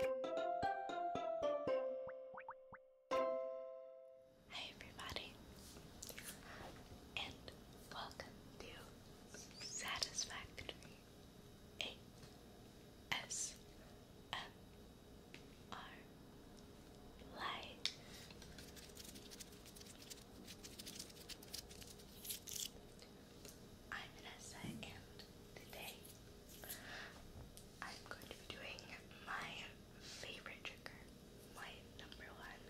Hi everybody, and welcome to Satisfactory ASMR Live. I'm Vanessa, and today I'm going to be doing my favorite tricker, my number one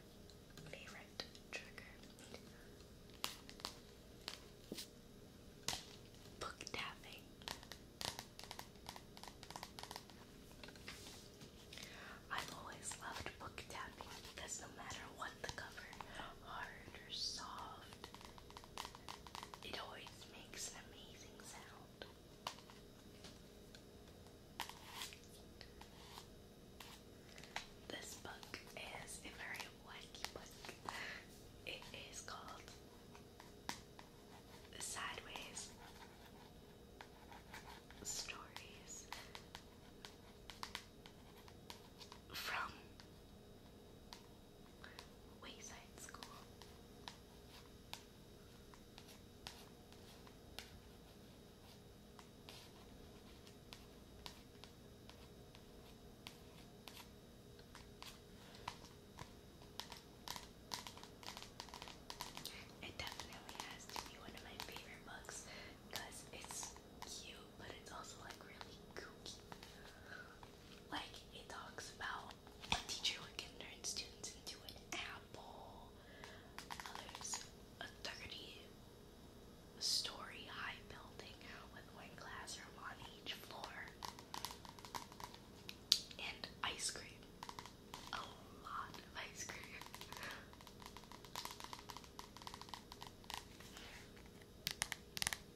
favorite trigger. Book tapping. I've always loved book tapping because no matter what the cover, hard or soft it always makes an amazing sound. This book is a very wacky book. It is called Sideways Stories from Wayside School. It definitely has to be one of my favorite books because it's cute, but it's also like really kooky. Like it talks about a teacher who can turn students into an apple. Others, a 30 story high building with one classroom on each floor. And ice cream. A lot of ice cream.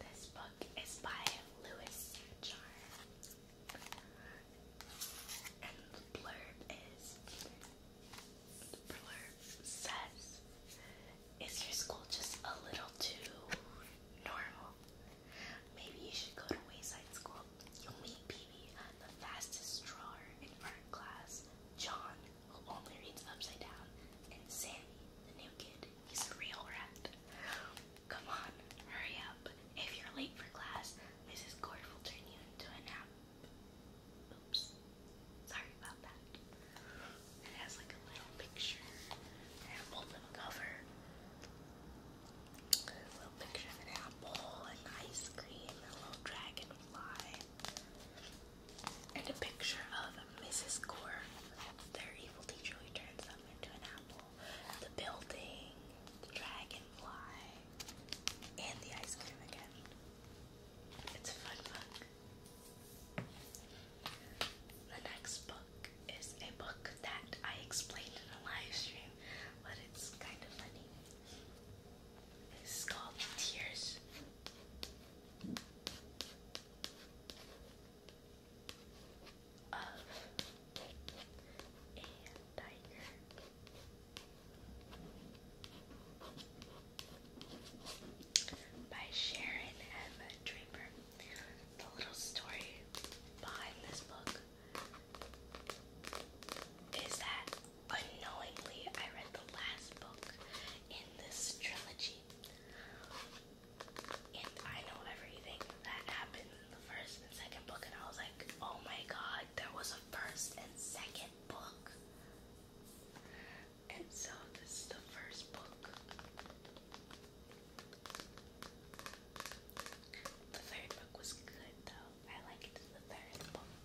This book is by Lewis And the blurb is the blurb says Is your school just a little too normal? Maybe you should go to Wayside School. You'll meet Peavy, the fastest drawer in art class, John, only reads upside down, and Sammy, the new kid, he's a real rat. Come on, hurry up. If you're late for class, Mrs. Gord will turn you into a nap. Oops. Sorry about that. It has like a little picture apple cover. A little picture of an apple, an ice cream, a little dragonfly and a picture of Mrs. Gore, their evil teacher who turns them into an apple, the building, the dragonfly, and the ice cream again. It's a fun book. The next book is a book that I explained in a live stream, but it's kind of funny. It's called Tears of a tiger. By Sharon M. Draper. The little story behind this book is that unknowingly I read the last book in this trilogy. And I know everything that happened in the first and second book, and I was like, oh my god, there was a first and second book. And so this is the first book. The third book was good though. I liked the third book.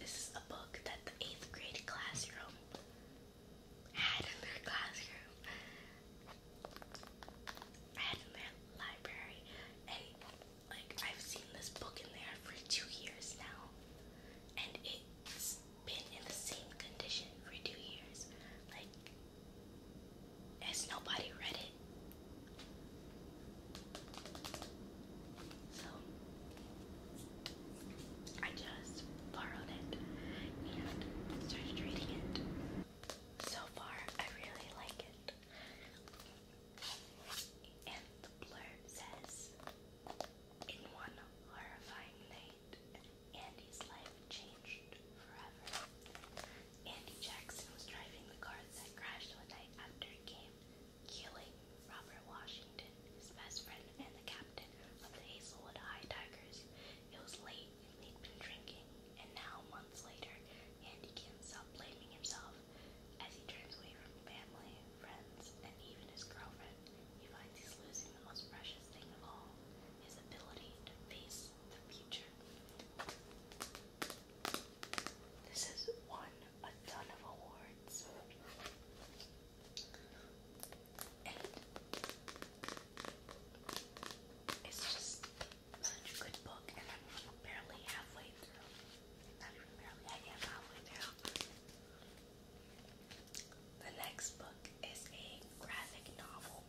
This is a book that the eighth grade classroom had in their classroom. had in their library, and like I've seen this book in there for two years now, and it's been in the same condition for two years. Like, has nobody read it? So I just borrowed it and started reading it. So far, I really like it. And the blurb says, In one horrifying night, Andy's life changed forever. Andy Jackson was driving the car that crashed one night after a game Keeling, Robert Washington, his best friend and the captain of the Hazelwood High Tigers. It was late and he'd been drinking, and now, months later, Andy can't stop blaming himself. As he turns away from family, friends, and even his girlfriend, he finds he's losing the most precious thing of all his ability to face the future. This is one a ton of awards. it's just such a good book, and I'm barely halfway through. Not even barely, halfway through. The next book is a graphic novel.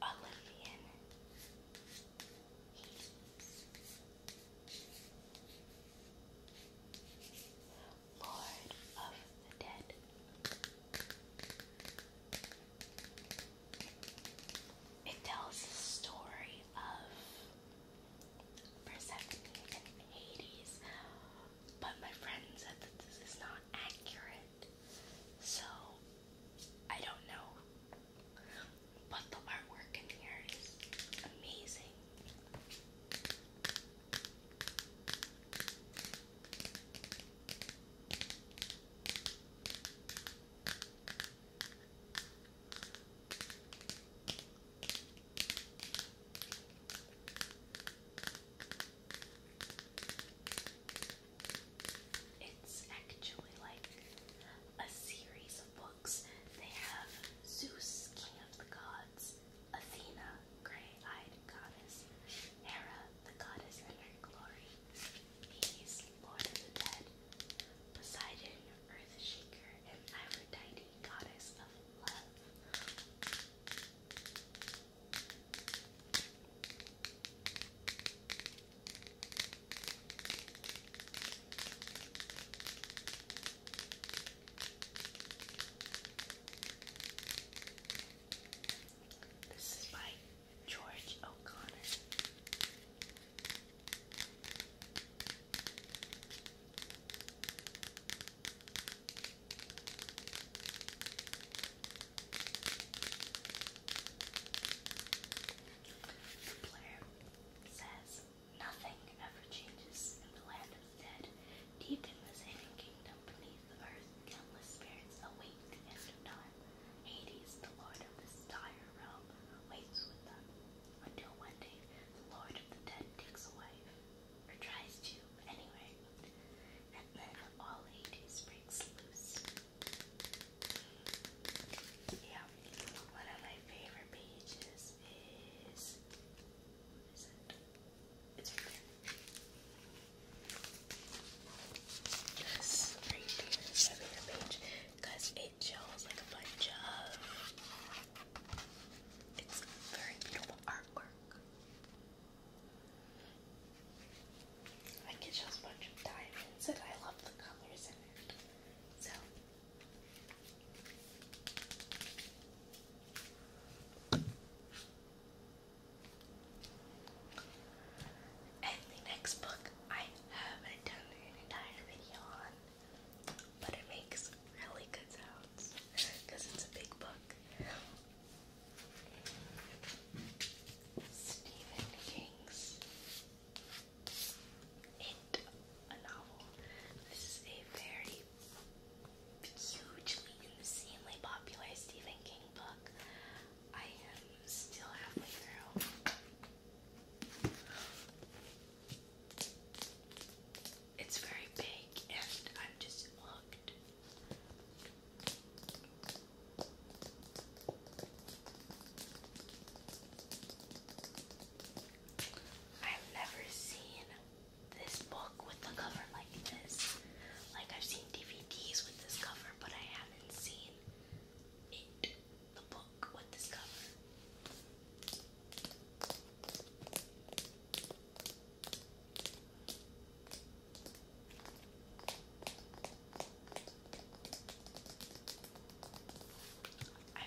Olympian Heat. Lord of the Dead. It tells the story of Persephone and Hades but my friend said that this is not accurate, so I don't know. But the artwork in here is amazing. It's actually like a series of books. They have Zeus, King of the Gods, Athena, Grey Eyed Goddess, Hera, the Goddess in her glory, Hades, Lord of the Dead, Poseidon, Earth Shaker, and Aphrodite, Goddess of Love. This is by George O'Connor. The blurb says, Nothing ever changes in the land of the dead. Deep in this hidden kingdom beneath the earth, countless spirits await the end of time. Hades, the lord of this entire realm, waits with them until one day the lord of the dead takes a or tries to, anyway. And then all he does loose. Yeah, one of my favorite pages is. What is it? It's right there. favorite page because it shows like a bunch of it's very beautiful artwork. I can show a bunch of diamonds and I love the colors in it. So and the next book I haven't done an entire video on but it makes really good sounds because it's a big book. Stephen King's It, a novel. This is a very hugely, insanely popular Stephen King book. I am still halfway through it's very big and I'm just hooked. I've never seen this book with a cover like this. Like I've seen DVDs with this cover, but I haven't seen it, the book with this cover. I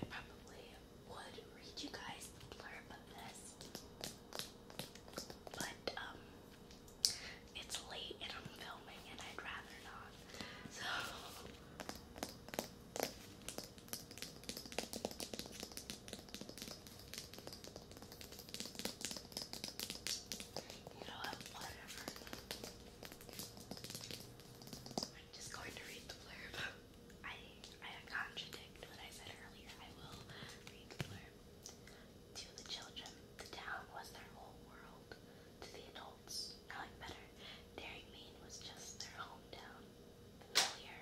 probably would read you guys the blurb of this, but um, it's late and I'm filming and I'd rather not. So you know what? Whatever. I'm just going to read the blurb. I I contradict what I said earlier. I will read the blurb. To the children, the town was their whole world. To the adults, knowing better, Daring was just their hometown clear,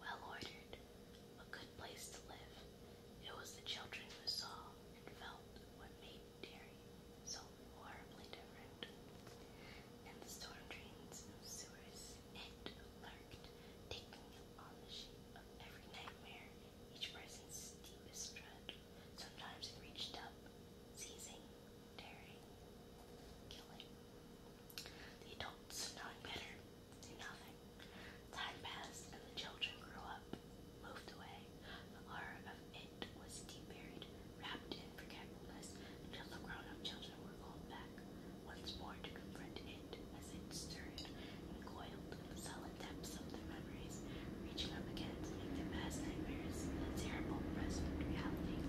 well ordered, a good place to live. It was the children who saw and felt what made Derry so horribly different. And the storm drains and sewers it lurked, taking on the shape of every nightmare, each person's deepest dread. Sometimes it reached up, seizing dairy, killing. The adults, knowing better, do nothing. Time passed, and the children grew up, moved away. The horror of it was deep buried, wrapped in forgetfulness, until the grown-up children were called back once more to confront it as it stirred and coiled in the solid depths of their memories, reaching up again to make their past nightmares a terrible present reality.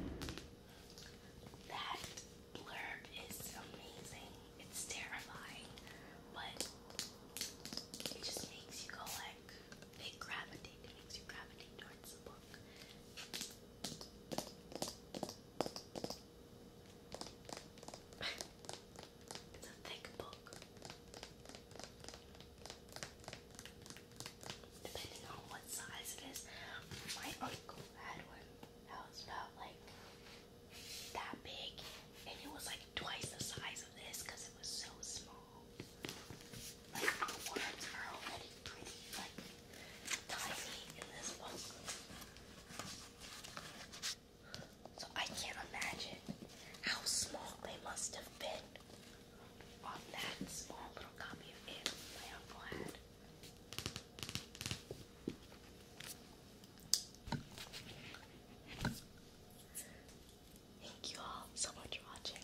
That blurb is amazing. It's terrifying, but it just makes you go like it gravitate. It makes you gravitate towards the book. it's a thick book. Depending on what size it is, my uncle had one that was about like that big, and it was like twice the size of this because it was so small. Like the worms are already pretty like tiny in this book, so I can't imagine how small they must have been on that small little copy of it my uncle had. Thank you all so much for watching.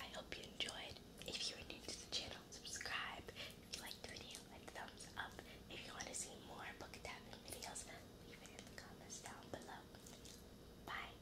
I hope you enjoyed. If you are new to the channel, subscribe. If you liked the video, like thumbs up. If you want to see more book tapping videos, leave it in the comments down below. Bye.